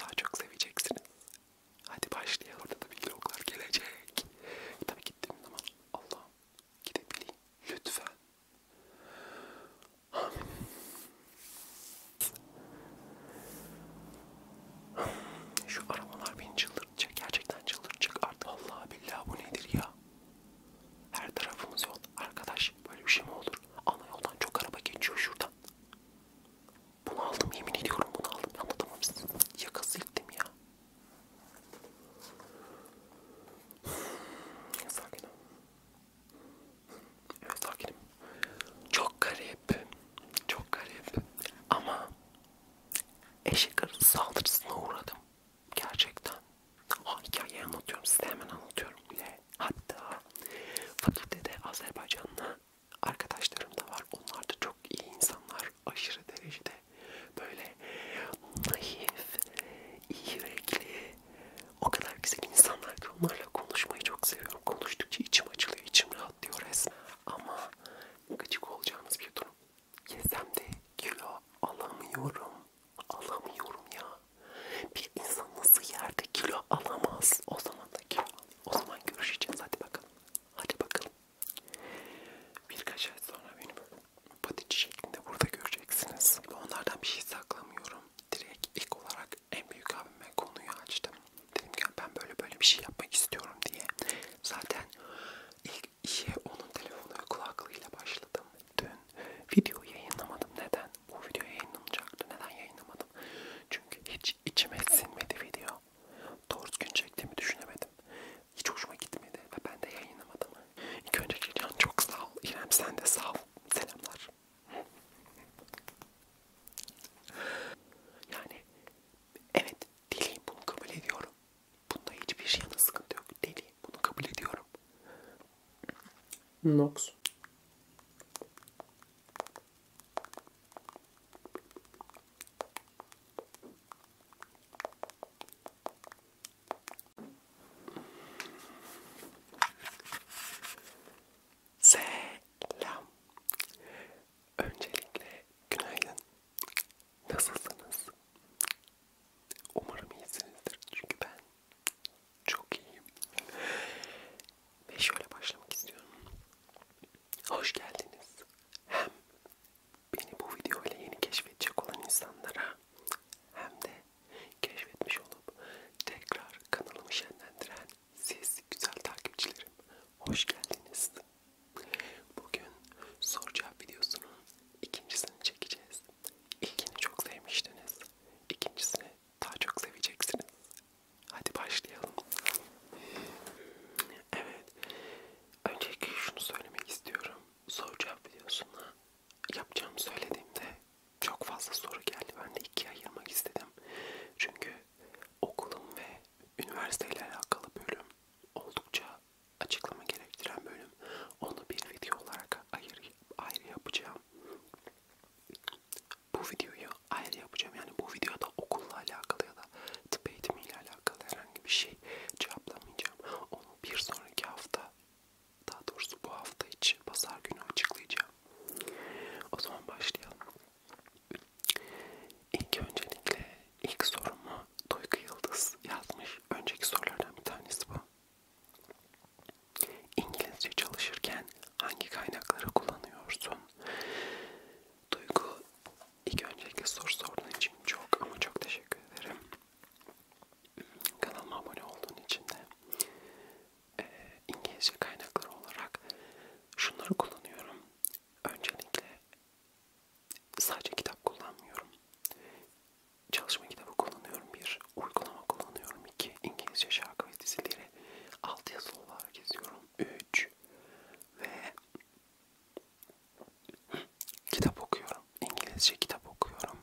daha çok seveceksiniz. Hadi başlayalım. Orada da vloglar gelecek. Tabii gittiğim zaman Allah'ım gidebileyim. Lütfen. Amin. Şu arabalar beni çıldırtacak. Gerçekten çıldırtacak artık. Allah billahi bu nedir ya? Her tarafımız yol. Arkadaş böyle bir şey mi olur? Ana yoldan çok araba geçiyor şuradan. Bunu aldım yemin ediyorum bunu aldım. Anlatamam size. Yakası ittim ya. Sakinim. Evet sakinim. Çok garip. Çok garip. Ama eşek arası saldırısına uğradım. Gerçekten. O hikayeyi anlatıyorum. Size hemen anlatıyorum bile. Hatta fakültede Azerbaycan'la arkadaşlarım da var. Onlar da çok iyi insanlar. Aşırı derecede böyle naif, iyi yürekli. O kadar güzel insanlar ki onlarla konuşmayı çok seviyorum. Konuştukça içim açılıyor, içim rahatlıyor resmen. Ama gıcık olacağınız bir durum. Yesem de kilo alamıyorum. Alamıyorum ya. Bir insan nasıl yerde kilo alamaz? O zaman da kilo o zaman görüşeceğiz. Hadi bakalım. Hadi bakalım. Birkaç ay sonra beni böyle patici şeklinde burada göreceksiniz. Onlardan bir şey saklamıyorum. Direkt ilk olarak en büyük abime konuyu açtım. Dedim ki ben böyle böyle bir şey yapmak istiyorum diye. Zaten ilk işe onun telefonu kulaklığıyla başladım. Dün video yayınlamadım. Neden? Bu video yayınlanacaktı. Neden yayınlamadım? Çünkü hiç hiç içime sinmedi video. Doğru gün çektiğimi düşünemedim. Hiç hoşuma gitmedi ve ben de yayınlamadım. İlk önce Cilyan çok sağ ol. İrem sen de sağ ol. Selamlar. Yani evet deliyim bunu kabul ediyorum. Bunda hiçbir şey yana sıkıntı yok. Deliyim bunu kabul ediyorum. Nox. Selam. Öncelikle günaydın. Nasılsınız? Umarım iyisinizdir çünkü ben çok iyiyim. Ve şöyle başlamak istiyorum. Hoş geldiniz. Hem beni bu video ile yeni keşfedecek olan insanlara hem de keşfetmiş olup tekrar kanalımı şenlendiren siz güzel takipçilerim. Hoş geldiniz. Bugün soru cevap videosunun ikincisini çekeceğiz. İlkini çok sevmiştiniz. İkincisini daha çok seveceksiniz. Hadi başlayalım. Evet. Öncelikle şunu söylemek istiyorum. Soru cevap videosuna yapacağım söylediğimde çok fazla soru geldi. Ben de ikiye ayırmak istedim. Çünkü okulum ve üniversiteyle alakalı bölüm oldukça açıklama gerektiren bölüm. Onu bir video olarak ayrı, ayrı yapacağım bu videoyu ayrı yapacağım. Yani bu videoda okulla alakalı ya da tıp eğitimiyle alakalı herhangi bir şey cevaplamayacağım. Onu bir sonraki hafta, daha doğrusu bu hafta içi pazar günü açıklayacağım. O zaman başlayalım. İlk öncelikle ilk sorumu Duygu Yıldız yazmış. Önceki sorulardan bir tanesi bu. İngilizce çalışırken hangi kaynakları kullanıyorsun? Duygu ilk önceki soru sorduğun için çok ama çok teşekkür ederim. Kanalıma abone olduğun için de e, İngilizce kaynakları olarak şunları kullanıyorum. Öncelikle sadece kitap kullanmıyorum. Çalışma kitabı kullanıyorum. Bir uygulama kullanıyorum. iki İngilizce şarkı ve dizileri alt yazılı olarak yazıyorum. Üç 3 ve kitap okuyorum. İngilizce kitap okuyorum.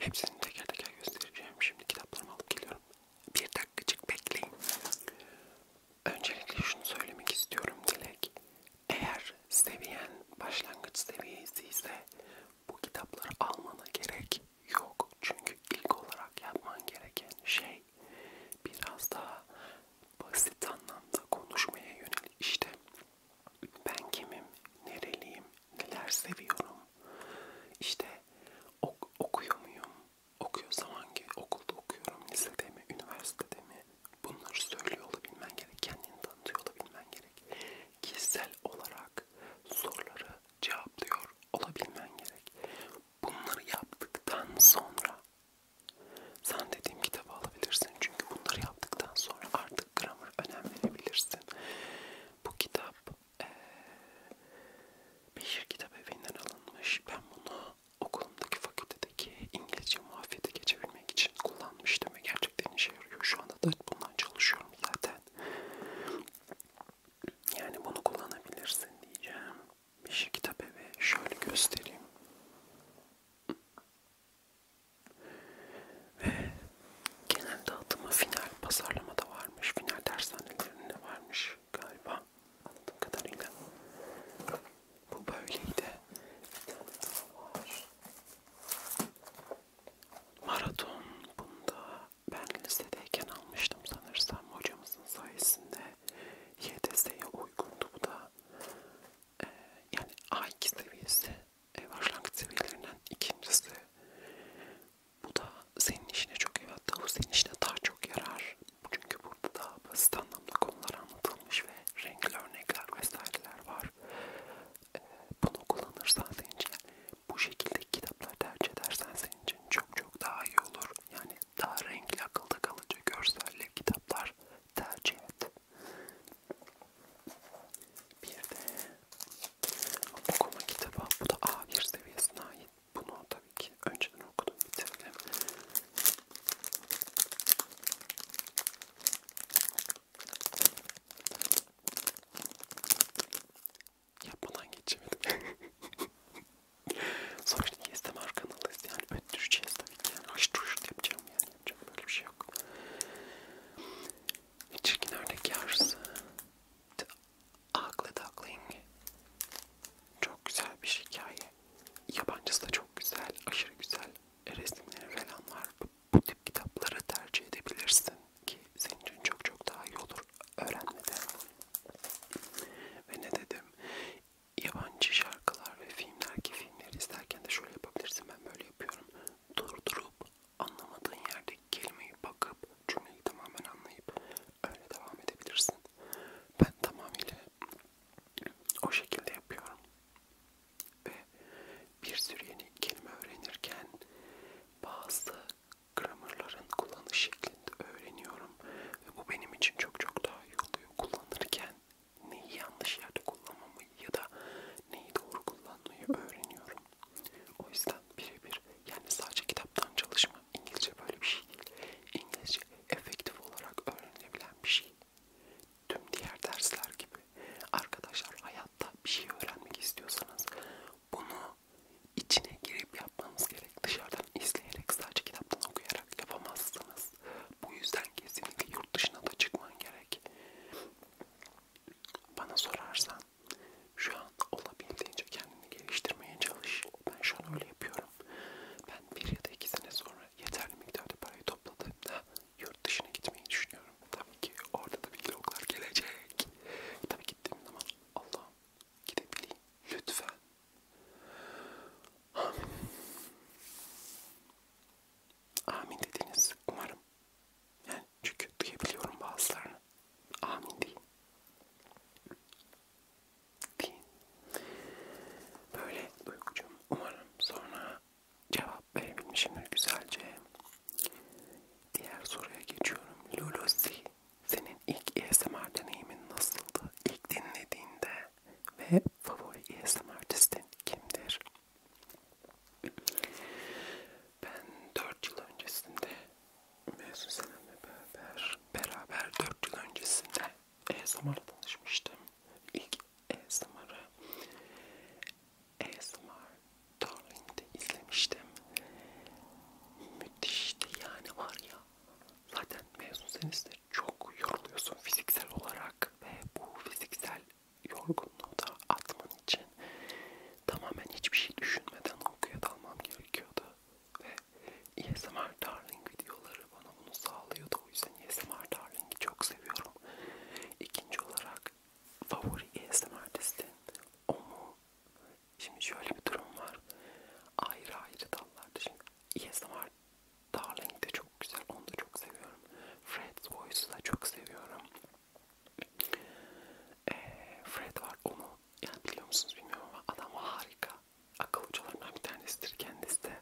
Hepsini teker teker göstereceğim. Şimdi kitaplarımı alıp geliyorum. Bir dakikacık bekleyin. Öncelikle şunu söylemek istiyorum Dilek. Eğer seviyen başlangıç seviyesi ise bu kitapları almana gerek yok. Çünkü ilk olarak yapman gereken şey biraz daha basit anlamda konuşmaya yönelik işte ben kimim, nereliyim, neler seviyorum, işte ok okuyor muyum, okuyorsam hangi okulda okuyorum, lisede mi, üniversitede mi bunları söylüyor olabilmen gerek, kendini tanıtıyor olabilmen gerek, kişisel olarak soruları cevaplıyor olabilmen gerek. Bunları yaptıktan sonra sen dediğim kitabı alabilirsin çünkü bunları yaptıktan sonra artık grammar önem verebilirsin. Bu kitap ee, Beşir Kitap Evi'nden alınmış. Ben bunu okulumdaki fakültedeki İngilizce muafiyete geçebilmek için kullanmıştım ve gerçekten işe yarıyor. Şu anda da bundan çalışıyorum zaten. Yani bunu kullanabilirsin diyeceğim. Yeşil şey kitap evi şöyle göstereyim. Ve genel dağıtımı final pazarlamada varmış. Final dershanelerinde varmış galiba. Anladığım kadarıyla. Bu böyleydi. Bir tane daha var. Maraton. Bunda ben lisedeyken almıştım sanırsam hocamızın sayesinde. YDS'ye uygundu bu da. Ee, yani A2 seviyesi e, başlangıç seviyelerinden ikincisi. Bu da senin işine çok evet daha senin işine daha çok yarar. Çünkü burada da basit anlamda konular anlatılmış ve renkli örnekler vesaireler var. Ee, bunu kullanırsan senin için bu şekilde kitaplar tercih edersen senin için çok çok daha iyi olur. Yani daha renkli akılda kalıcı görselli kitaplar tercih et. Bir de okuma kitabı. Bu da A1 seviyesine ait. Bunu tabii ki önceden okudum bitirdim. Yapmadan geçemedim. Sonuçta ASMR kanalıyız yani öttüreceğiz tabii ki yani haşır huşur yapacağım yani yapacağım böyle bir şey yok. Çirkin örnek yarısı. The Ugly Duckling. Çok güzel bir hikaye. Yabancısı da çok güzel, aşırı güzel resimleri falan var. Bu, bu tip kitapları tercih edebilirsin ki senin için çok çok daha iyi olur öğrenmede. Ve ne dedim? yabancı şarkılar ve filmler filmleri izlerken de şöyle yapabilirsin. Ben böyle yapıyorum. Durdurup anlamadığın yerdeki kelimeyi bakıp cümleyi tamamen anlayıp öyle devam edebilirsin. Ben tamamıyla o şekilde yapıyorum. Ve bir sürü yeni kelime öğrenirken bazı gramerların kullanış şeklinde öğreniyorum. Ve bu benim için çok çok daha iyi oluyor doğruyu kullanırken neyi yanlış yerde kullanmamı ya da neyi doğru kullanmayı öğreniyorum. O yüzden birebir yani sadece kitaptan çalışma İngilizce böyle bir şey değil. İngilizce efektif olarak öğrenilebilen bir şey. Tüm diğer dersler gibi. Arkadaşlar hayatta bir şey öğrenmek istiyorsanız bunu içine girip yapmanız gerek. Dışarıdan izleyerek sadece kitaptan okuyarak yapamazsınız. Bu yüzden kesinlikle yurt dışına da çıkman gerek. Bana sorarsan şu an olabildiğince kendini geliştirmeye çalış. Ben şu an öyle yapıyorum. Ben bir ya da iki sene sonra yeterli miktarda parayı topladığımda yurt dışına gitmeyi düşünüyorum. Tabii ki orada da vloglar gelecek. Tabii gittiğim zaman Allah'ım gidebileyim lütfen Amin. Amin dediniz umarım. Yani çünkü duyabiliyorum bazılarını. Amin deyin. Deyin. Böyle duygucum umarım sonra cevap verebilmişimdir güzelce. Diğer soruya geçiyorum. Lulusi, senin ilk ASMR deneyimin nasıldı? İlk dinlediğinde ve favori ASMR artistin kimdir? Ben 4 yıl öncesinde mezun senemle beraber, beraber 4 yıl öncesinde ASMR'la tanışmıştım. İlk ASMR'ı ASMR Darling'de izlemiştim. Müthişti yani var ya Zaten mezun senizde çok yoruluyorsun fiziksel olarak ve bu fiziksel yorgunluğu da atman için tamamen hiçbir şey düşünmeden uykuya dalmam gerekiyordu. Ve ASMR e Darling videoları bana bunu sağlıyordu. O yüzden ASMR e Darling'i çok seviyorum. İkinci olarak favori ASMR e listin o mu? Şimdi şöyle bir durum var. Ayrı ayrı dallarda şimdi ASMR Darling de çok güzel. Onu da çok seviyorum. Fred's Voice'u da çok seviyorum. E, Fred var onu. Yani biliyor musunuz bilmiyorum ama adam harika. Akıl hocalarından bir tanesidir kendisi de.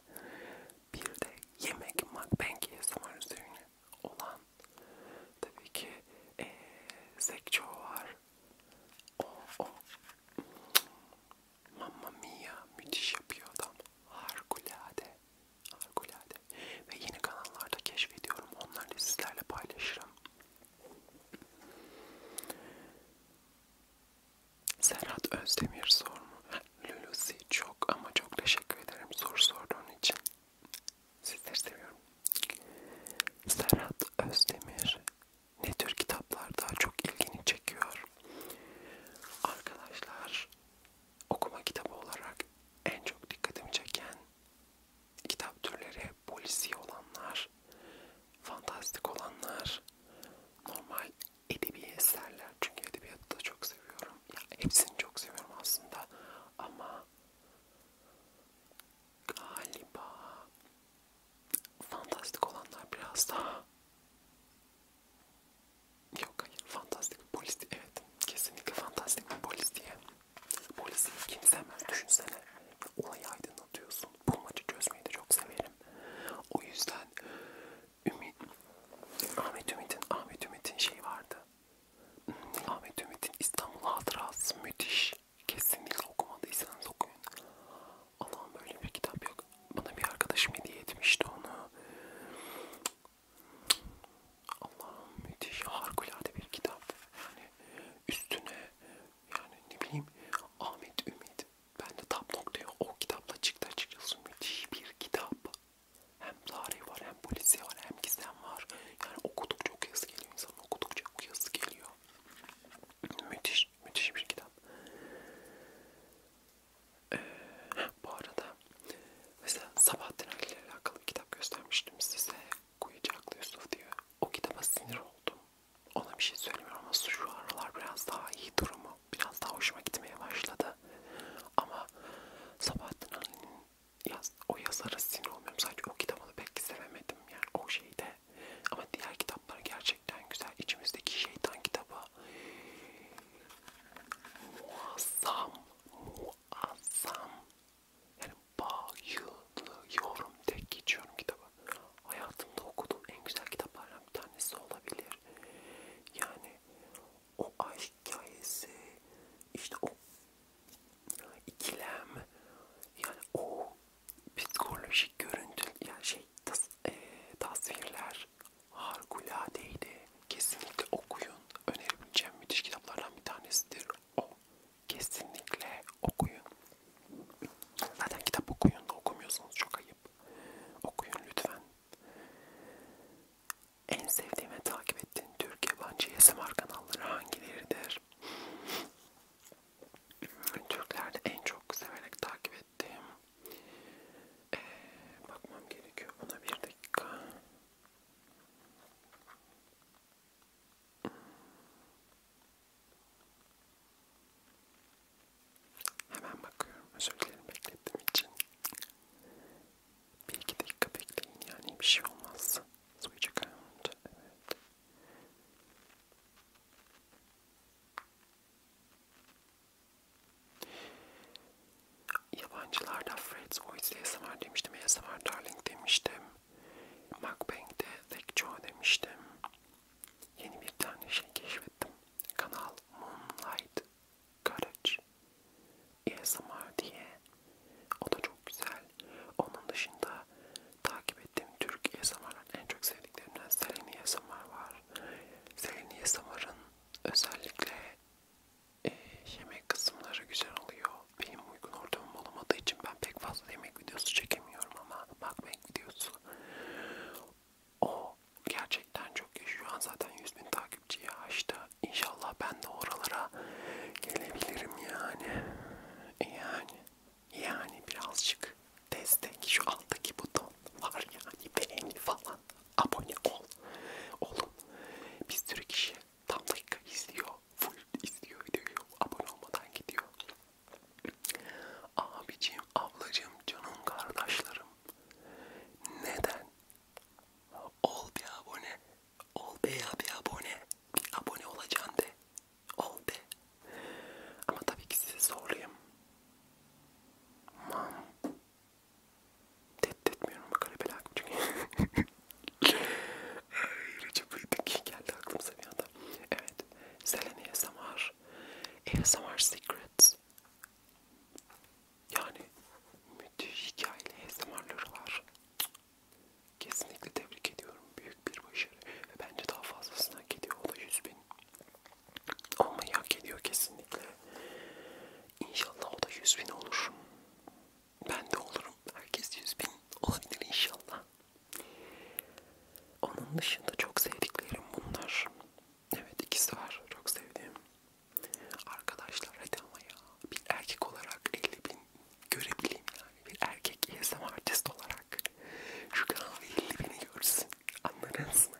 Bir de yemek mukbang yasam var üzerine olan. Tabii ki e, Zekço var. O, o. Mamma Mia müthiş yapıyor adam. Harikulade. Harikulade. Ve yeni kanallarda keşfediyorum. Onları da sizlerle paylaşırım. Serhat Özdemir sormuş. Lulusi çok ama çok teşekkür ederim soru sorduğun için. Sizleri seviyorum. Serhat Özdemir ne tür kitaplar daha çok ilgini çekiyor? Arkadaşlar okuma kitabı olarak en çok dikkatimi çeken kitap türleri polisi olanlar, fantastik olanlar, normal edebi eserler. Çünkü edebiyatı da çok seviyorum. Ya hepsini çok seviyorum aslında ama galiba fantastik olanlar biraz daha Yok hayır. Fantastik polis evet. Kesinlikle fantastik bir polis diye. Polisi kimse düşünsene. Olayı aydınlatıyorsun. Bulmacı çözmeyi de çok severim. O yüzden Ümit Ahmet Ümit'in Ahmet Ümit'in şey vardı. Ahmet Ümit'in İstanbul Hatırası müthiş. Kesinlikle okumadıysanız okuyun. Allah'ım böyle bir kitap yok. Bana bir arkadaşım hediye etmişti onu. Allah'ım müthiş harikulade bir kitap. Yani e, üstüne e, yani ne bileyim Ahmet Ümit. Ben de tam noktaya o kitapla çıktı açıkçası. Müthiş bir kitap. Hem tarih var hem polisi var hem gizem var. Yani okudukça okuyası geliyor. İnsanın okudukça okuyası geliyor. Müthiş, müthiş bir kitap. Ee, bu arada mesela Sabahattin Ali ile alakalı bir kitap göstermiştim size. Kuyucaklı Yusuf diyor. O kitaba sinir oldum. Ona bir şey söylemiyorum ama şu aralar biraz daha iyi durumu. Biraz daha hoşuma gitmeye başladı. Ama Sabahattin Ali'nin yaz, o yazara sinir olmuyorum. Sadece o kitabını pek sevemedim. Yani o şeyde ama diğer kitaplar gerçekten güzel. İçimizdeki şeytan kitabı muazzam, muazzam. Yani bayılıyorum. Tek geçiyorum kitabı. Hayatımda okuduğum en güzel kitaplardan bir tanesi olabilir. Yani o aşk hikayesi, işte o ikilem, yani o psikolojik görüntü, yani şey tas, e, tasvirler harikuladeydi. Kesinlikle okuyun. Önerebileceğim müthiş kitaplardan bir tanesidir o. Kesinlikle okuyun. Zaten kitap okuyun da okumuyorsanız çok ayıp. Okuyun lütfen. En sevdiğim ve takip ettiğin Türk yabancı ASMR kanalları hangileridir? Türklerde en çok severek takip ettiğim ettim. Ee, bakmam gerekiyor buna bir dakika. Hemen bakıyorum. Özür dilerim beklettiğim için. Bir iki dakika bekleyin yani bir şey olmaz. Soyacak önce. Evet. Yabancılarda Fred's Voice ASMR demiştim, ASMR Darling demiştim, Mukbang'de Lake Joe demiştim. Yeni bir tane şey keşfettim. Kanal Moonlight Garage ASMR diye. O da çok güzel. Onun dışında takip ettiğim Türk ASMR'ın en çok sevdiklerimden Seleni ASMR var. Seleni ASMR'ın özellikle e, yemek kısımları güzel oluyor. Benim uygun ortamım olamadığı için ben pek fazla yemek videosu çekemiyorum ama mukbang videosu o gerçekten çok iyi. Şu an zaten 100 bin takipçiye açtı. İnşallah ben de oralara gelebilirim yani. Yani yani birazcık destek şu alttaki buton var yani beğeni falan abone ol. Oğlum bir sürü kişi tam dakika izliyor. Full izliyor diyor. Abone olmadan gidiyor. Abicim, ablacım, canım kardeşlerim. Neden? Ol bir abone. Ol be ya bir abone. Bir abone olacaksın de. Ol be. Ama tabii ki sizi zorlayayım. Mam. Tehdit etmiyorum ama kanepe lazım çünkü. Recep İvedik geldi aklımıza bir anda. Evet. Selen ASMR. ASMR Secrets. Yani müthiş hikayeli ASMR'ları var. Kesinlikle tebrik ediyorum. Büyük bir başarı. Ve bence daha fazlasını hak ediyor. O da 100 bin. Olmayı hak ediyor kesinlikle. İnşallah o da 100 bin olur. Ben de olurum. Herkes 100 bin olabilir inşallah. Onun dışında çok sevdiklerim bunlar. Evet ikisi var. Çok sevdiğim. Arkadaşlar hadi ama ya. Bir erkek olarak 50 bin görebileyim yani. Bir erkek yesem artist olarak. Şu kanal 50 bini görsün. Anladınız mı?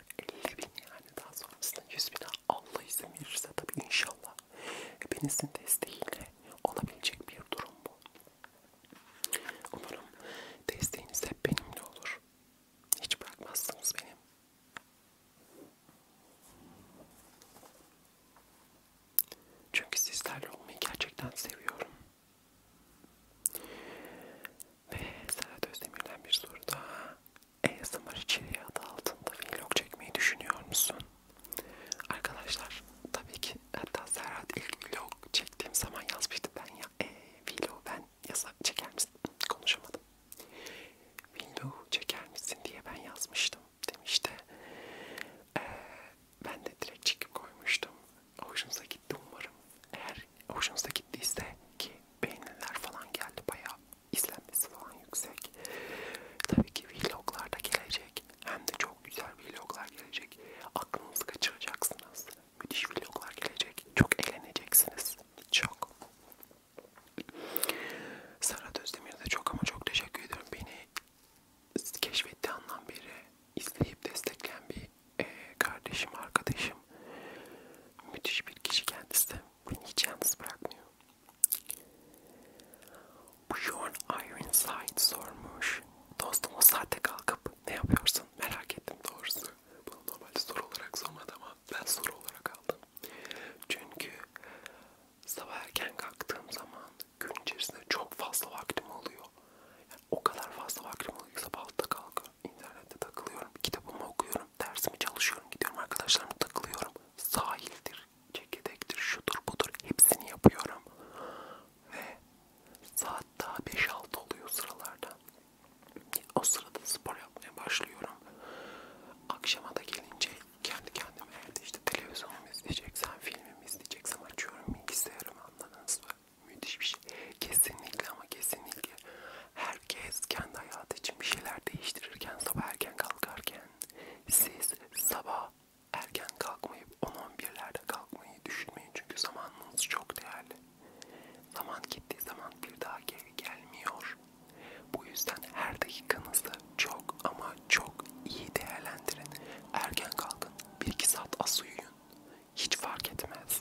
50 bin yani. Daha sonrasında 100 bin Allah izin verirse tabii inşallah hepinizin desteğiyle olabilecek bir durum bu. Umarım desteğiniz hep benimle olur. Hiç bırakmazsınız beni. Çünkü sizlerle olmayı gerçekten seviyorum. Ve Serhat Özdemir'den bir soru daha. ASMR içeriği adı altında vlog çekmeyi düşünüyor musun? Arkadaşlar tabii ki hatta Serhat ilk vlog çektiğim zaman yazmıştı ben ya e, vlog ben yasa çeker misin? Konuşamadım. Vlog çeker misin diye ben yazmıştım demişti. Ee, ben de direkt çekip koymuştum. Hoşunuza gitti umarım. Eğer hoşunuza gittiyse ki beğeniler falan geldi bayağı izlenmesi falan yüksek. Tabii ki vloglar da gelecek. Hem de çok güzel vloglar gelecek. Aklınızı kaçıracaksınız. Müthiş vloglar gelecek. Çok eğleneceksiniz. Çok. Serhat Özdemir'e de çok ama çok teşekkür ederim. Beni keşfettiği andan beri izleyip destekleyen bir e, kardeşim, arkadaşım. Müthiş bir kişi kendisi beni hiç yalnız bırakmıyor. Bjorn Ironside sormuş. Dostum o saatte kalkıp ne yapıyorsun merak ettim doğrusu. Bunu normalde soru olarak sormadı ama ben soru olarak aldım. Çünkü sabah erken kalktığım zaman gün içerisinde çok fazla vaktim oluyor. Yani o kadar fazla vaktim oluyor ki sabah altta kalkıyorum, internette takılıyorum, kitabımı okuyorum, dersimi çalışıyorum, gidiyorum arkadaşlarımla takılıyorum sahildir, çekirdektir, şudur budur hepsini yapıyorum. Ve saat daha 5-6 oluyor sıralarda. O sırada spor yapmaya başlıyorum. Akşama da gelince kendi kendime evde işte televizyonumu izleyeceksen, filmimi izleyeceksem açıyorum bilgisayarımı anladınız mı? Müthiş bir şey. Kesinlikle ama kesinlikle herkes kendi hayatı için bir şeyler değiştirirken sabah erken kalkarken siz sabah erken kalkmayıp 10-11'lerde kalkmayı düşünmeyin çünkü zamanınız çok değerli. Zaman gittiği zaman bir daha geri gelmiyor. Bu yüzden her dakikanızı çok ama çok iyi değerlendirin. Erken kalkın, 1-2 saat az uyuyun. Hiç fark etmez.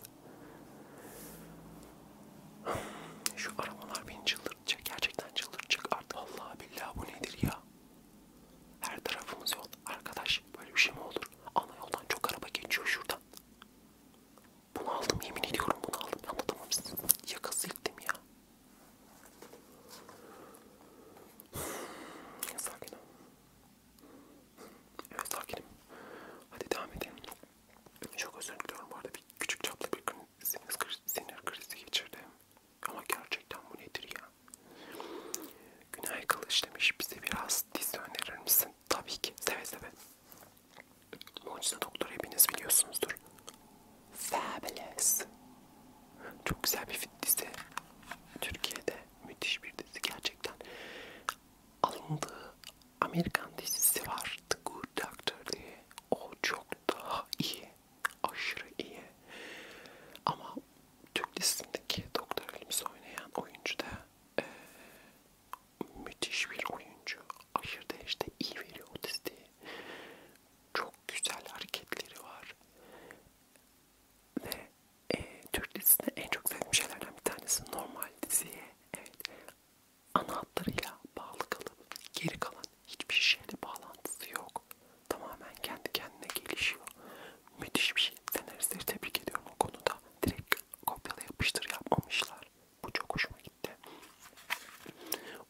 Şu aramalar beni çıldırtacak. Gerçekten çıldırtacak artık. Vallahi billahi bu nedir ya? Her tarafımız yol. Arkadaş böyle bir şey mi olur? Ana yoldan çok araba geçiyor şuradan. Bunu aldım yemin ediyorum bunu aldım. Anlatamam size. Yakası ilktim ya. Sakinim. Evet sakinim. Hadi devam edelim. Çok özür diliyorum bu arada bir küçük çaplı bir sinir krizi geçirdim. Ama gerçekten bu nedir ya? Günay Kılıç demiş, bize biraz dizi önerir misin? Tabii ki, seve seve. Mucize Doktor hepiniz biliyorsunuzdur. Fabulous. Çok güzel bir dizi. Türkiye'de müthiş bir dizi gerçekten. Alındığı Amerikan dizisi var. The Good Doctor diye. O çok daha iyi aşırı iyi. Ama Türk listindeki Doktor Wilms'i oynayan oyuncu da e, müthiş bir oyuncu. Aşırı derecede iyi veriyor o listeyi. Çok güzel hareketleri var. Ve e, Türk dizisinde en çok sevdiğim şeylerden bir tanesi normal diziye. Evet, ana hatlarıyla bağlı kalıp geri kalan hiçbir şeyle bağlantısı yok. Tamamen kendi kendine gelişiyor. Müthiş bir şey. Senaristleri tebrik ediyorum o konuda. Direkt kopyala yapıştır yapmamışlar. Bu çok hoşuma gitti.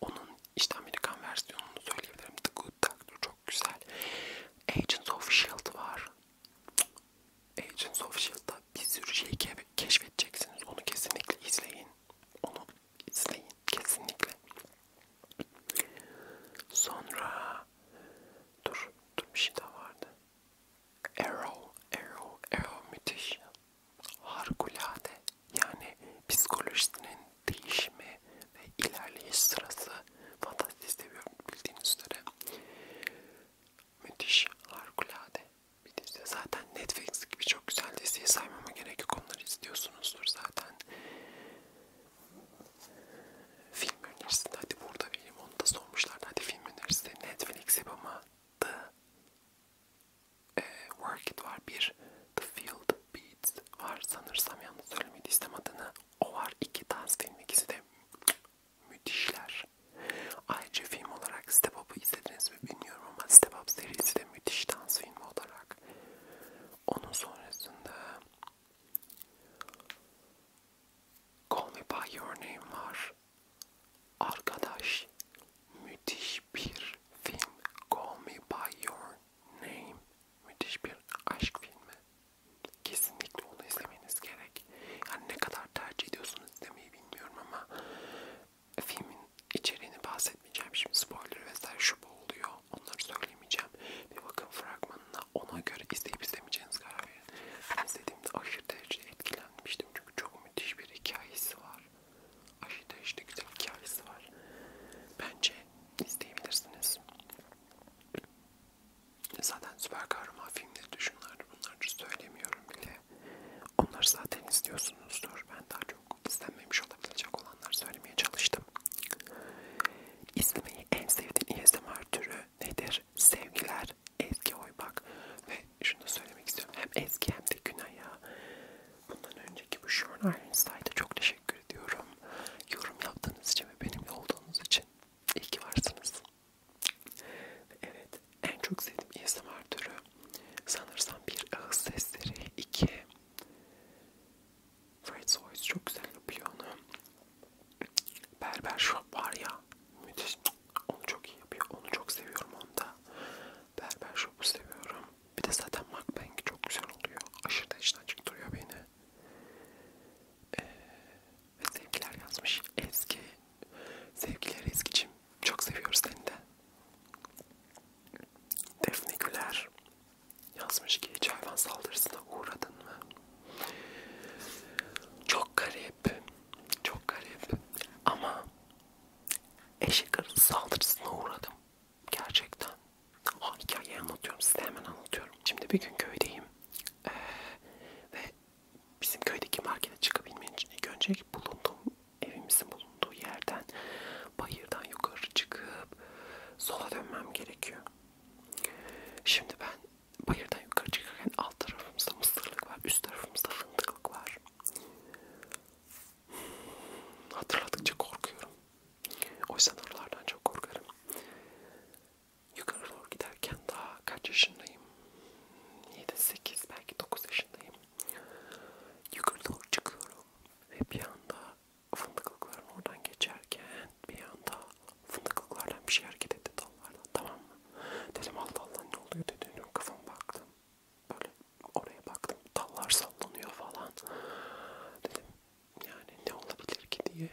Onun işte Amerikan versiyonunu söyleyebilirim. The Good Doctor çok güzel. Agents of S.H.I.E.L.D. var. Agents of S.H.I.E.L.D.'da bir sürü şey keşfedeceksiniz. Onu kesinlikle izleyin. Onu izleyin kesinlikle. Sonra dur dur bir şey daha vardı. Arrow, Arrow, Arrow müthiş. Harikulade. Yani psikolojisinin değişimi ve ilerleyiş sırası fantastik seviyorum bildiğiniz üzere. Müthiş, harikulade bir dizi. Zaten Netflix gibi çok güzel diziyi saymama gerek yok. Onları izliyorsunuz biliyorsunuzdur zaten. Film önerisinde hadi burada bilim onu da sormuşlar. Hadi film önerisinde Netflix yapımı The e, Work It var bir. The Field Beats var sanırsam yanlış söylemediysem adını. O var iki dans film ikisi de müthişler. Ayrıca film olarak Step Up'ı izlediniz mi bilmiyorum ama Step Up serisi de müthiş dans filmi olarak olarak. Onun sonrasında Call Me By Your Name var. Arkadaş müthiş bir film. Call Me By Your Name. Müthiş bir aşk filmi. Kesinlikle onu izlemeniz gerek. Yani ne kadar tercih ediyorsunuz demeyi bilmiyorum ama filmin içeriğini bahsetmeyeceğim. Şimdi spoiler vesaire şu bu oluyor. Onları söylemeyeceğim. Bir bakın fragmanına ona göre izleyip izlemeyeceğiniz karar verin. Ben izlediğimde aşırı derecede etkilenmiştim. Çünkü çok müthiş bir hikayesi var. Aşırı derecede güzel hikayesi var. Bence izleyebilirsiniz. Zaten süper kahraman filmleri de şunlar bunları söylemiyorum bile. Onları zaten izliyorsunuzdur. Ben daha çok çok istenmemiş olabilecek olanlar söylemeye çalıştım. İzlemeyi en sevdiğin ASMR türü nedir? Sevgiler Ezgi Oybak ve şunu söylemek istiyorum hem Ezgi hem de Günay'a bundan önceki bu Short Ironside'a çok teşekkür ediyorum. Yorum yaptığınız için ve benimle olduğunuz için iyi ki varsınız. Evet en çok sevdiğim ASMR türü sanırsam bir ağız sesleri, iki Fred Soys çok güzel yapıyor onu. Berber Shop var ya müthiş. Onu çok iyi yapıyor. Onu çok seviyorum onda. Berber Shop'u seviyorum. Bir de zaten Macbank çok güzel oluyor. Aşırı da içten çıktırıyor beni. Ee, ve sevgiler yazmış. Ezgi. Sevgiler Ezgi'cim. Çok seviyoruz seni de. Defne Güler. Yazmış ki hiç hayvan saldırısına uğradın mı? Çok garip. Çok garip. Ama eşek arısı saldırısına uğradım. Gerçekten. O hikayeyi anlatıyorum. Size hemen anlatıyorum. Şimdi bir gün köydeyim. Ee, ve bizim köydeki markete çıkabilmen için ilk önce bulunduğum evimizin bulunduğu yerden bayırdan yukarı çıkıp sola dönmem gerekiyor. Şimdi ben bayırdan yukarı çıkarken alt tarafımızda mısırlık var, üst tarafımızda fındıklık var. Hatırladıkça korkuyorum. Oysa oralardan çok korkarım. Yukarı doğru giderken daha kaç yaşındayım? 7-8 belki 9 yaşındayım. Yukarı doğru çıkıyorum ve bir anda fındıklıkların oradan geçerken bir anda fındıklıklardan bir şey hareket etti dallardan tamam mı? Dedim Allah Allah ne oluyor dedim kafama baktım. Böyle oraya baktım dallar sallanıyor falan. Dedim yani ne olabilir ki diye.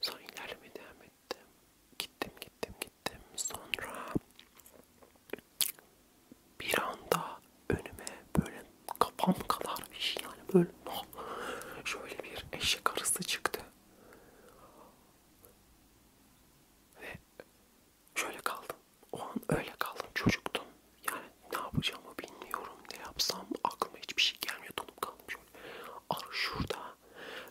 Sonra ilerlemeye devam ettim. Gittim gittim gittim. Sonra bir anda önüme böyle kafam kadar bir şey yani böyle ah, şöyle bir eşek arısı çıktı ve şöyle kaldım o an öyle kaldım çocuktum yani ne yapacağımı bilmiyorum ne yapsam aklıma hiçbir şey gelmiyor donup kaldım şöyle arı şurada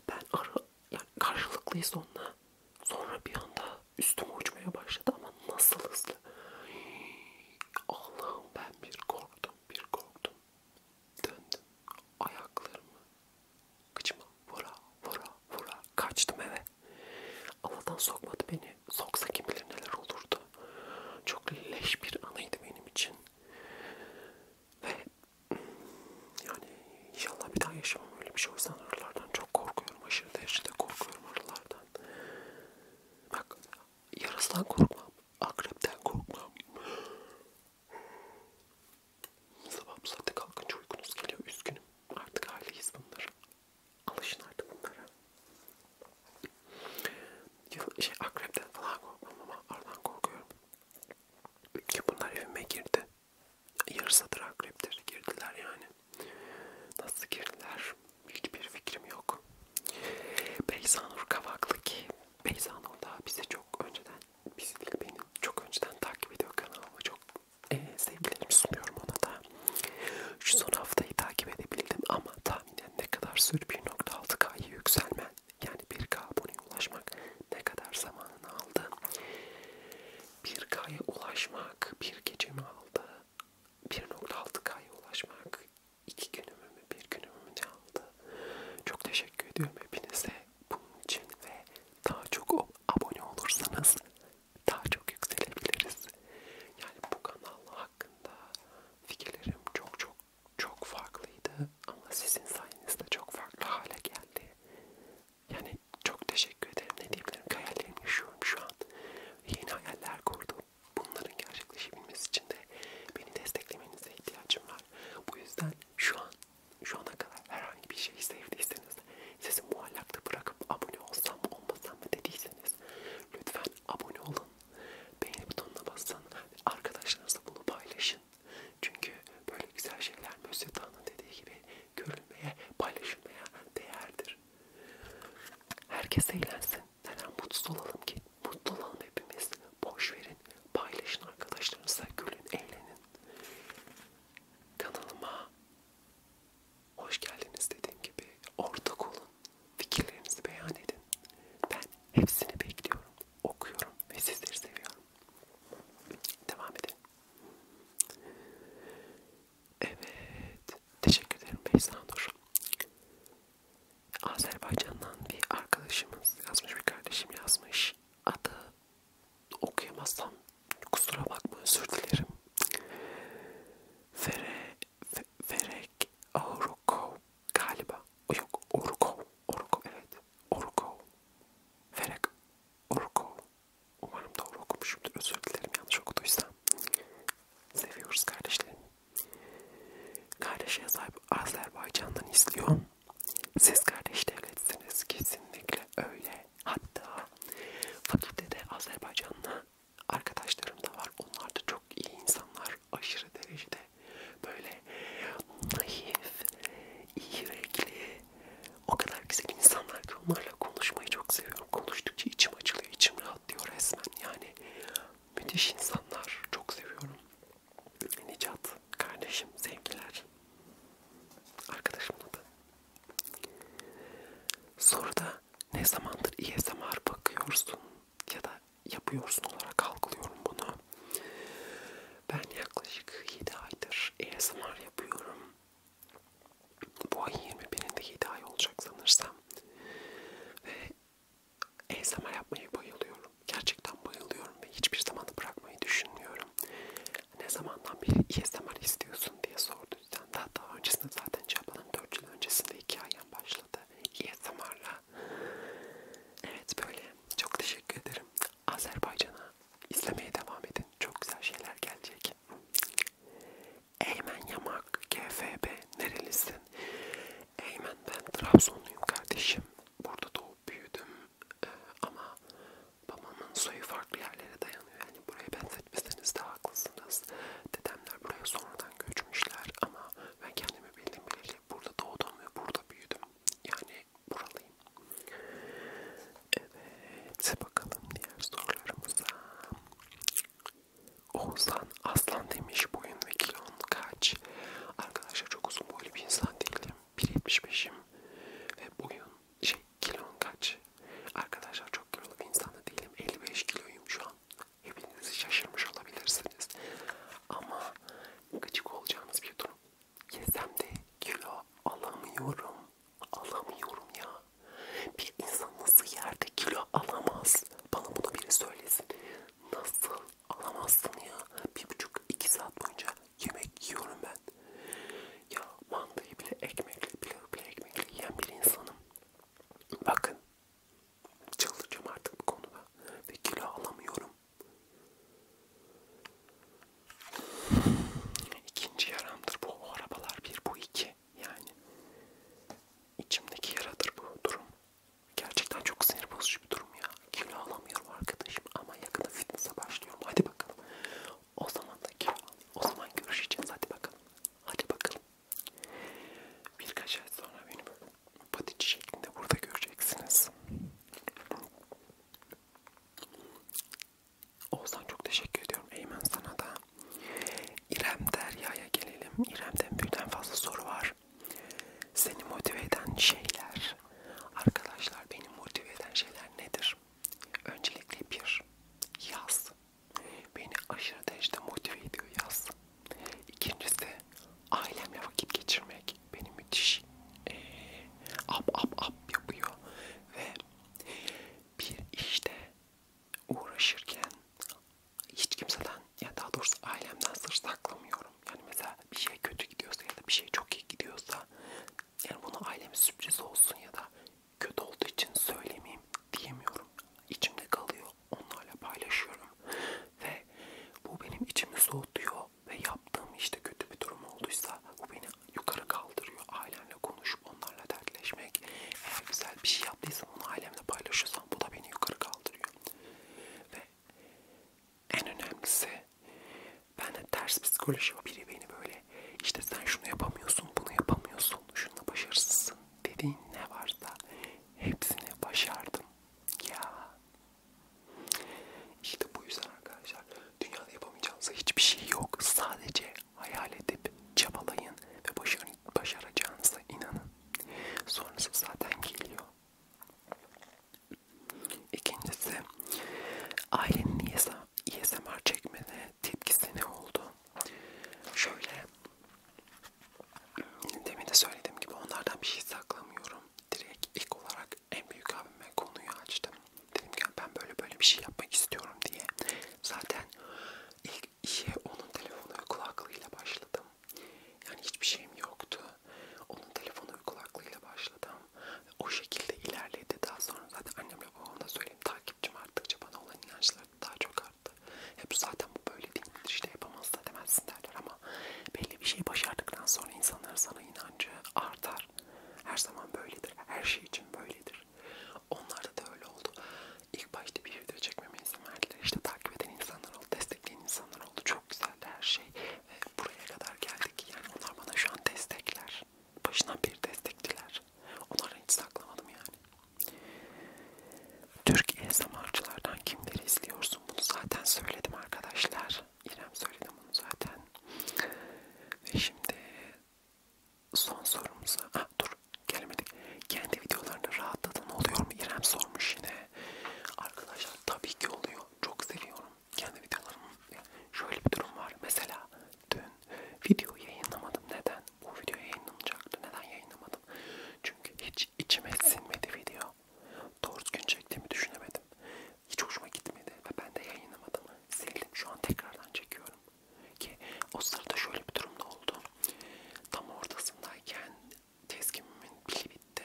ben arı yani karşılıklıyız onunla sonra bir anda üstüme uçmaya başladı ama nasıl hızlı Allah'ım ben bir korktum, bir korktum. Döndüm, ayaklarımı kıçıma vura vura vura kaçtım eve. Allah'tan sokmadı beni. Soksa kim bilir neler olurdu. Çok leş bir anıydı benim için. Ve yani inşallah bir daha yaşamam öyle bir şey. O yüzden arılardan çok korkuyorum. Aşırı derecede korkuyorum arılardan. Bak Yarasından korkmam. Akrepten korkmam. Sabah bu saatte kalkınca uykunuz geliyor. Üzgünüm. Artık aileyiz bunları. Alışın artık bunlara. Şey, akrepten falan korkmam ama aradan korkuyorum. Ki bunlar evime girdi. Yarısadır akreptir. Girdiler yani. Nasıl girdiler? hiçbir fikrim yok. Beyza Nur Kavaklı ki Beyza Nur da bize çok önceden, bizi değil beni çok önceden takip ediyor kanalımı. Çok e, sevgilerimi sunuyorum ona da. Şu son haftayı takip edebildim ama tahminen ne kadar sür 1.6K'yı yükselmen yani 1K aboneye ulaşmak ne kadar zamanını aldı. 1K'ya ulaşmak bir gecemi aldı. 1.6K'ya ulaşmak iki günümü mü bir günümü mü ne aldı. Çok teşekkür ediyorum hepinize bunun için ve daha çok abone olursanız daha çok yükselebiliriz. Yani bu kanal hakkında fikirlerim çok çok çok farklıydı ama sizin sayenizde çok farklı hale geldi. Yani çok teşekkür ederim. Ne diyebilirim? Hayallerimi yaşıyorum şu an. Yeni hayaller kurdum. Bunların gerçekleşebilmesi için de beni desteklemenize ihtiyacım var. Bu yüzden şu an, şu ana kadar herhangi bir şey sevdiyseniz, sizi muallakta bırakıp abone olsam mı olmasam mı dediyseniz lütfen abone olun, beğeni butonuna basın, arkadaşlarınızla bunu paylaşın. Çünkü böyle güzel şeyler Mösyö Dağ'ın dediği gibi görülmeye, paylaşılmaya değerdir. Herkes eğlensin. Neden mutsuz olalım ki? Mutlu olalım hepimiz. Boş verin. Paylaşın arkadaşlarınızla. Gülün, eğlenin. Kanalıma hoş geldiniz dediğim gibi. Ortak olun. Fikirlerinizi beyan edin. Ben hepsini bekliyorum. Okuyorum ve sizleri seviyorum. Devam edelim. Evet. Teşekkür ederim Beyza Nur. Azerbaycan'dan bir arkadaşımız yazmış, bir kardeşim yazmış. Adı okuyamazsam kusura bakma özür dilerim. Fere, fe, Ferek Aurukov galiba. O yok Orukov. Orukov evet. Orukov. Ferek Orukov. Umarım doğru okumuşumdur. Özür dilerim yanlış okuduysam. Seviyoruz kardeşlerim. Kardeşine sahip Azerbaycan'dan izliyor. Siz kardeş devletsiniz kesinlikle öyle. Hatta fakültede Azerbaycan'la arkadaşlarım da var. Onlar da çok iyi insanlar. Aşırı derecede böyle naif, iyi yürekli, o kadar güzel insanlar ki onlarla konuşmayı çok seviyorum. Konuştukça içim açılıyor, içim rahatlıyor resmen. Yani Müthiş insanlar. Çok seviyorum. Nicat, kardeşim, sevgiler. Arkadaşım adı. Soruda ne zamandır ESMR bakıyorsun ya da yapıyorsun olarak algılıyorum bunu. Ben yaklaşık 7 aydır ASMR e yapıyorum. Bu ay 21'inde 7 ay olacak sanırsam. Ve ASMR yapmayı bayılıyorum. Gerçekten bayılıyorum ve hiçbir zaman bırakmayı düşünmüyorum. Ne zamandan beri ASMR istiyorsun diye sordu. Daha daha öncesinde zaten cevapladım. 4 yıl öncesinde hikayem başladı. ASMR'la. Evet böyle. Çok teşekkür ederim. Azerbaycan'a izlemeye devam edin. Çok güzel şeyler gelecek. Eymen Yamak, GFB, nerelisin? Eymen ben Trabzonluyum kardeşim. Burada doğup büyüdüm ee, ama babamın soyu farklı yerlere dayanıyor. Yani buraya benzetmeseniz de haklısınız. Dedemler buraya sonradan göçmüşler ama ben kendimi bildim bileli burada doğdum ve burada büyüdüm. Yani buralıyım. Evet bakalım diğer sorularımıza. Oğuzhan aslan demiş boyun ve kilon kaç? Arkadaşlar çok uzun boylu bir insan değilim. 1.75'im ve boyun şey kilon kaç? Arkadaşlar çok kilolu bir insan da değilim. 55 kiloyum şu an. Hepinizi şaşırmış olabilirsiniz. Ama gıcık olacağınız bir durum. Yesem de kilo alamıyorum. Alamıyorum ya. Bir insan nasıl yerde kilo alamaz? Bana bunu biri söylesin. Nasıl Anlamazsın ya. Bir buçuk iki saat boyunca yemek yiyorum ben. Ya mantıyı bile ekmekle, pilavı bile ekmekle yiyen bir insanım. Bakın. Çıldıracağım artık bu konuda. Ve kilo alamıyorum. İkinci yaramdır bu. O arabalar bir, bu iki. Yani içimdeki yaradır bu durum. Gerçekten çok sinir bozucu bir durum ya. Kilo alamıyorum arkadaşım ama yakında fitness'a başlıyorum. Hadi bakalım. O zaman da kilo O zaman görüşeceğiz. Hadi bakalım. Hadi bakalım. Birkaç ay sonra beni böyle patici şeklinde burada göreceksiniz. Oğuzhan çok teşekkür ediyorum. Eymen sana da. İrem Derya'ya gelelim. İrem'den birden fazla soru var. Seni motive eden şeyler. Arkadaşlar beni motive eden şeyler nedir? Öncelikle bir, yaz. Beni aşırı derecede motive ediyor yaz. İkincisi ailemle vakit geçirmek beni müthiş ee, up up up yapıyor ve bir işte uğraşırken hiç kimseden yani daha doğrusu ailemden sır saklamıyorum. Yani mesela bir şey kötü gidiyorsa ya da bir şey çok iyi gidiyorsa yani bunu aileme sürpriz olsun ya da kötü olduğu için söylemeyeyim diyemiyorum. İçimde kalıyor. Onlarla paylaşıyorum. Ve bu benim içimi soğutuyor ve yaptığım işte kötü bir durum olduysa bu beni yukarı kaldırıyor. Ailemle konuşup onlarla dertleşmek. Eğer güzel bir şey yaptıysam onu ailemle paylaşıyorsam bu da beni yukarı kaldırıyor. Ve en önemlisi ben de ters psikoloji var. Biri beni böyle işte sen şunu yapamıyorsun, bunu yapamıyorsun, şunu başarısızsın dediğin ne varsa hepsini başardım. Ya. İşte bu yüzden arkadaşlar dünyada yapamayacağınız hiçbir şey yok. Sadece hayal edip çabalayın ve başaracağınıza inanın. Sonrası zaten geliyor. İkincisi ailenin ASMR e çekmene tepkisi ne oldu? Şöyle demin de söylediğim gibi onlardan bir şey saklamıyorum. Direkt ilk olarak en büyük abime konuyu açtım. Dedim ki ben böyle böyle bir şey yapmak istiyorum diye. Zaten ilk işe onun telefonu ve kulaklığıyla başladım. Yani hiçbir şeyim yoktu. Onun telefonu uygulaklığıyla başladım. O şekilde ilerledi. Daha sonra zaten annemle babamla söyleyeyim takipçim arttıkça bana olan inançları daha çok arttı. Hep zaten bu böyle değil. İşte yapamazsa demezsin derler ama belli bir şey başardıktan sonra insanların sana inancı artar. Her zaman böyledir. Her şey için böyledir. Onlarda da öyle oldu. İlk başta bir video çekmeme izin verdiler. İşte takip eden insanlar oldu, destekleyen insanlar güzel oldu. Çok güzeldi her şey. Ve buraya kadar geldik. Yani onlar bana şu an destekler. Başından beri destektiler. Onları hiç saklamadım yani. Türk ASMR'cılardan kimleri izliyorsun? Bunu zaten söyledim arkadaşlar. İrem söyledim bunu zaten. Ve şimdi son sorumuza... Ah dur gelemedik. Kendi videolarını rahatladın oluyor mu? İrem sormuş yine. Arkadaşlar tabii ki oluyor. Çok seviyorum kendi videolarımı. Şöyle bir durum var. Mesela dün video yayınlamadım. Neden? Bu video yayınlanacaktı. Neden yayınlamadım? Çünkü hiç içime sinmedi video. Doğru gün çektiğimi düşünemedim. Hiç hoşuma gitmedi ve ben de yayınlamadım. Sildim. Şu an tekrardan çekiyorum. Ki o sırada şöyle bir durum da oldu. Tam ortasındayken tezgimimin pili bitti.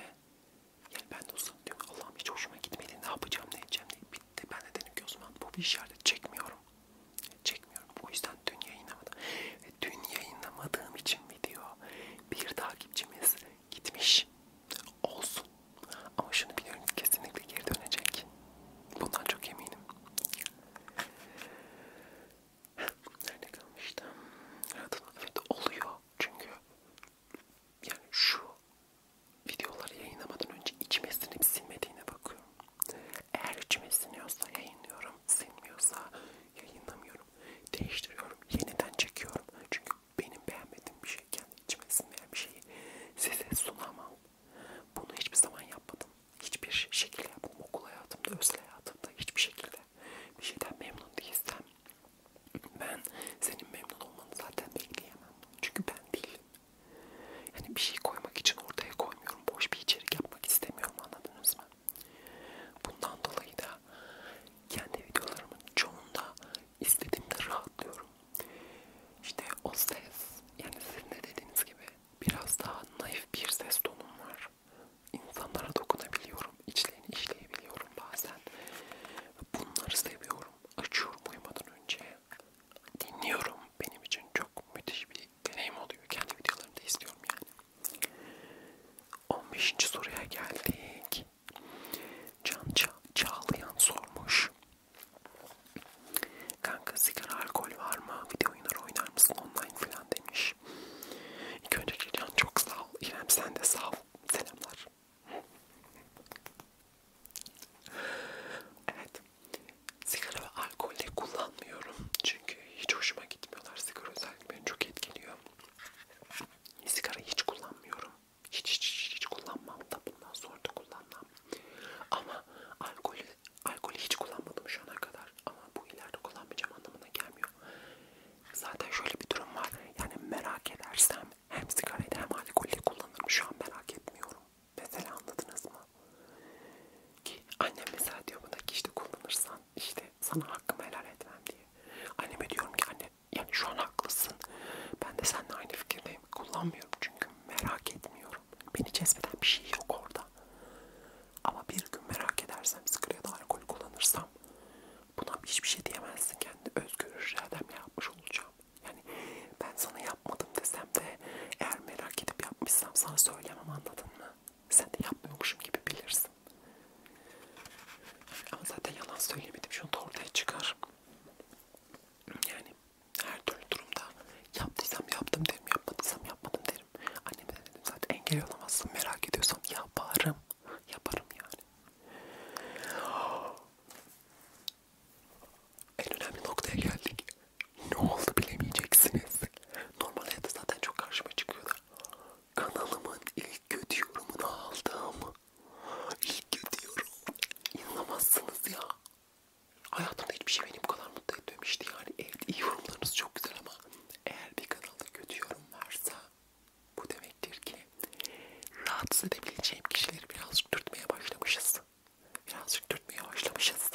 Yani ben de uzun diyorum Allah'ım hiç hoşuma gitmedi. Ne yapacağım ne edeceğim diye bitti. Ben de dedim ki o zaman bu bir işaret çekmiyorum. Çekmiyorum. O yüzden dün yayınlamadım. Ve dün yayınlamadığım için video bir takipçimiz gitmiş. Olsun. Ama şunu biliyorum kesinlikle geri dönecek. Bundan çok eminim. Nerede kalmıştım? Evet oluyor. Çünkü yani şu videoları yayınlamadan önce içime sinip silmediğine bakıyorum. Eğer içime siniyorsa yayınlıyorum, sinmiyorsa yayınlamıyorum. Değiştiriyorum, yeniden çekiyorum. Çünkü benim beğenmediğim bir şey, kendi içime sinmeyen bir şeyi size sunamam. Bunu hiçbir zaman yapmadım. Hiçbir şey, şekilde yapmadım. Okul hayatımda, özel hayatımda hiçbir şekilde bir şeyden memnun değilsem ben senin memnun olmanı zaten bekleyemem. Çünkü ben değilim. Yani bir şey koymak için ortaya koymuyorum. Boş bir içerik yapmak istemiyorum anladınız mı? Bundan dolayı da kendi videolarımın çoğunda istediğimde rahatlıyorum. İşte o ses, yani sizin de dediğiniz gibi biraz daha naif bir ses tonum var. İnsanlara dokunabiliyorum yapabiliyorum. İçlerini işleyebiliyorum bazen. Bunları seviyorum. Açıyorum uyumadan önce. Dinliyorum. Benim için çok müthiş bir deneyim oluyor. Kendi videolarımda izliyorum yani. 15. soruya geldik. Can ça Çağlayan sormuş. Kanka sigara alkol var mı? Video oyunları oynar mısın online filan demiş. İlk önceki can çok sağ ol. İrem sen de sağ ol. Selamlar. Evet. Sigara ve alkol de kullanmıyorum. Çünkü hiç hoşuma gitmiyorlar. Sigara özellikle beni çok etkiliyor. Sigara hiç kullanmıyorum. Hiç hiç hiç, hiç kullanmam da bundan sonra da kullanmam. Ama alkolü, alkolü hiç kullanmadım şu ana kadar. Ama bu ileride kullanmayacağım anlamına gelmiyor. Zaten şöyle bir durum var. Yani merak edersem hem sigarayı hem alkolü kullanırım. Şu an merak etmiyorum. Mesela anladınız mı? Ki annem mesela diyor bana ki işte kullanırsan işte sana hakkımı helal etmem diye. Anneme diyorum ki anne yani şu an haklısın. Ben de seninle aynı fikirdeyim. Kullanmıyorum çünkü merak etmiyorum. Beni cezbeden bir şey yok orada. Ama bir gün merak edersem sigara ya da alkol kullanırsam Buna hiçbir şey diyemezsin. Kendi özgür irademle yapmış olacağım. Yani ben sana yapmadım desem de eğer merak edip yapmışsam sana söylemem anladın mı? Sen de yapmıyormuşum gibi bilirsin. Ama zaten yalan söylemedim. Şunu da ortaya çıkar. Yani her türlü durumda yaptıysam yaptım derim, yapmadıysam yapmadım derim. Anneme de dedim zaten engel olamazsın. Merak ediyorsan yaparım. Yaparım yani. En önemli noktaya geldik. Ne oldu bilemeyeceksiniz. Normal hayatta zaten çok karşıma çıkıyordu. Kanalımın ilk kötü yorumunu aldım. İlk kötü yorum. İnanamazsınız ya. Hayatımda hiçbir şey beni bu kadar mutlu etmemişti yani. Evet iyi yorumlarınız çok güzel ama eğer bir kanalda kötü yorum varsa bu demektir ki rahatsız edebileceğim kişileri birazcık dürtmeye başlamışız. Birazcık dürtmeye başlamışız.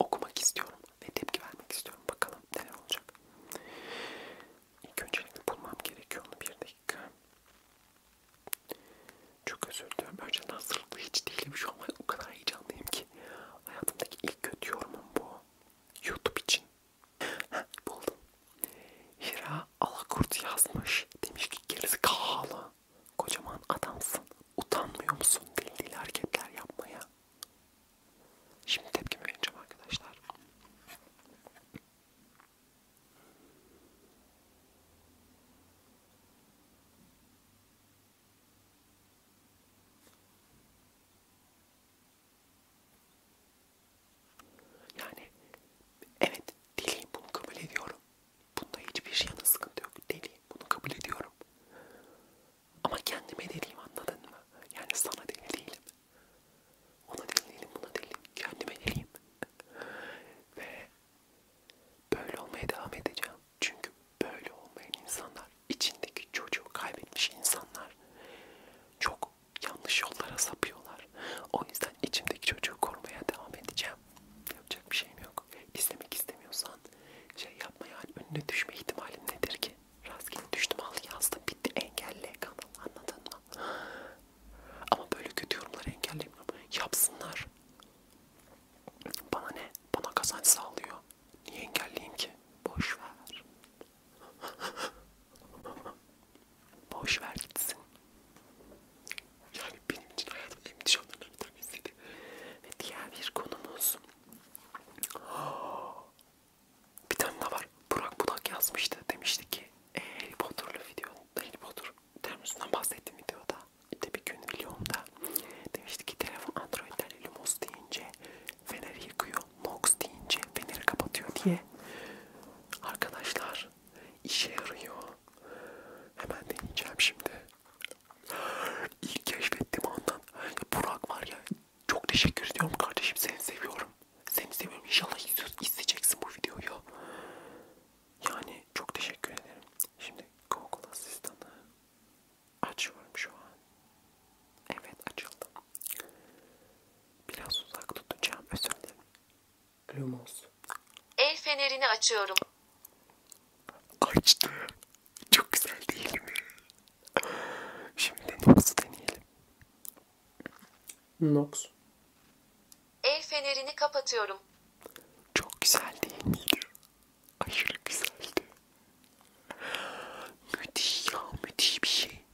Okumak istiyorum ve tepki vermek istiyorum. Bakalım neler olacak. İlk öncelikle bulmam gerekiyor onu bir dakika. Çok özür diliyorum. Önceden hazırlıklı hiç değilim. Şu an o kadar heyecanlıyım ki. Hayatımdaki ilk kötü yorumum bu. Youtube için Buldum. Hira Alakurt yazmış. Demiş ki gerizekalı. Kocaman adamsın. Utanmıyor musun deli deli hareketler yapmaya? Şimdi tepkimi vereceğim arkadaşlar. Yani evet deliyim bunu kabul ediyorum. Bunda hiçbir şeyin sıkıntı yok. Deliyim bunu kabul ediyorum. Ama kendime deliyim anladın mı? Yani sana deli değilim. Ona deli değilim, buna deliyim. Kendime deliyim. Ve böyle olmaya devam edeceğim. Çünkü böyle olmayan insanlar, içindeki çocuğu kaybetmiş insanlar çok yanlış yollara sapıyorlar. O yüzden içimdeki çocuğu korumaya devam edeceğim. Yapacak bir şeyim yok. İzlemek istemiyorsan şey yapma yani önüne düşme ihtimalin nedir ki? Rastgele düştüm al yazdım bitti engelle kanal anladın mı? Ama böyle kötü yorumları engellemiyorum. Yapsınlar. Bana ne? Bana kazanç sağlıyor. Niye engelleyeyim ki? Boş ver. Boş ver gitsin. Yani benim için hayatım en müthiş anlarından bir tanesiydi. Ve diğer bir konumuz. Bir tane daha var. Burak Budak yazmıştı. Demişti ki e, Harry Potter'lı video, Harry Potter termosundan bahsettiğim videoda. İşte bir gün videomda demişti ki telefon Android'den Lumos deyince feneri yakıyor, Nox deyince feneri kapatıyor diye. Arkadaşlar var. İşe yarıyor. Hemen deneyeceğim şimdi. İlk keşfettim ondan. Ya Burak var ya. Çok teşekkür ediyorum kardeşim. Seni seviyorum. Seni seviyorum. İnşallah izleyeceksin bu videoyu. Yani çok teşekkür ederim. Şimdi Google asistanı açıyorum şu an. Evet açıldı. Biraz uzak tutacağım. Özür dilerim. Lumos. El fenerini açıyorum. Açtı. Çok güzel değil mi? Şimdi Nox'u deneyelim. Nox. El fenerini kapatıyorum. Çok güzel değil miydi? Aşırı güzeldi. Müthiş ya müthiş bir şey.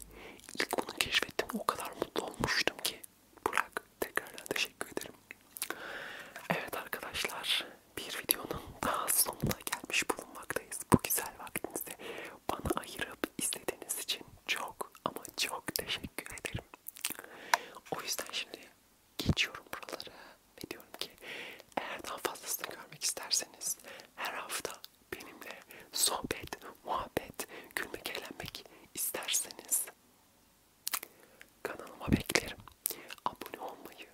İlk onu keşfettim o kadar mutlu olmuştum ki. Burak tekrardan teşekkür ederim. Evet arkadaşlar bir videonun daha sonuna gelmiş bulunmaktayız. Bu güzel vaktinizde bana ayırıp izlediğiniz için çok ama çok teşekkür ederim. O yüzden şimdi geçiyorum buraları ve diyorum ki eğer daha fazlasını görmek isterseniz her hafta benimle sohbet muhabbet, gülmek, eğlenmek isterseniz kanalıma beklerim. Abone olmayı,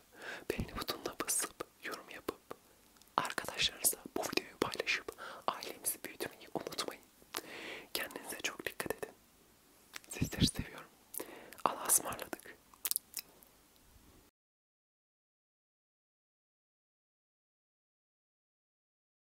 beğeni butonuna basıp, yorum yapıp, arkadaşlarınızla bu videoyu paylaşıp ailemizi büyütmeyi unutmayın. Kendinize çok dikkat edin. Sizleri seviyorum. Allah'a ısmarladık.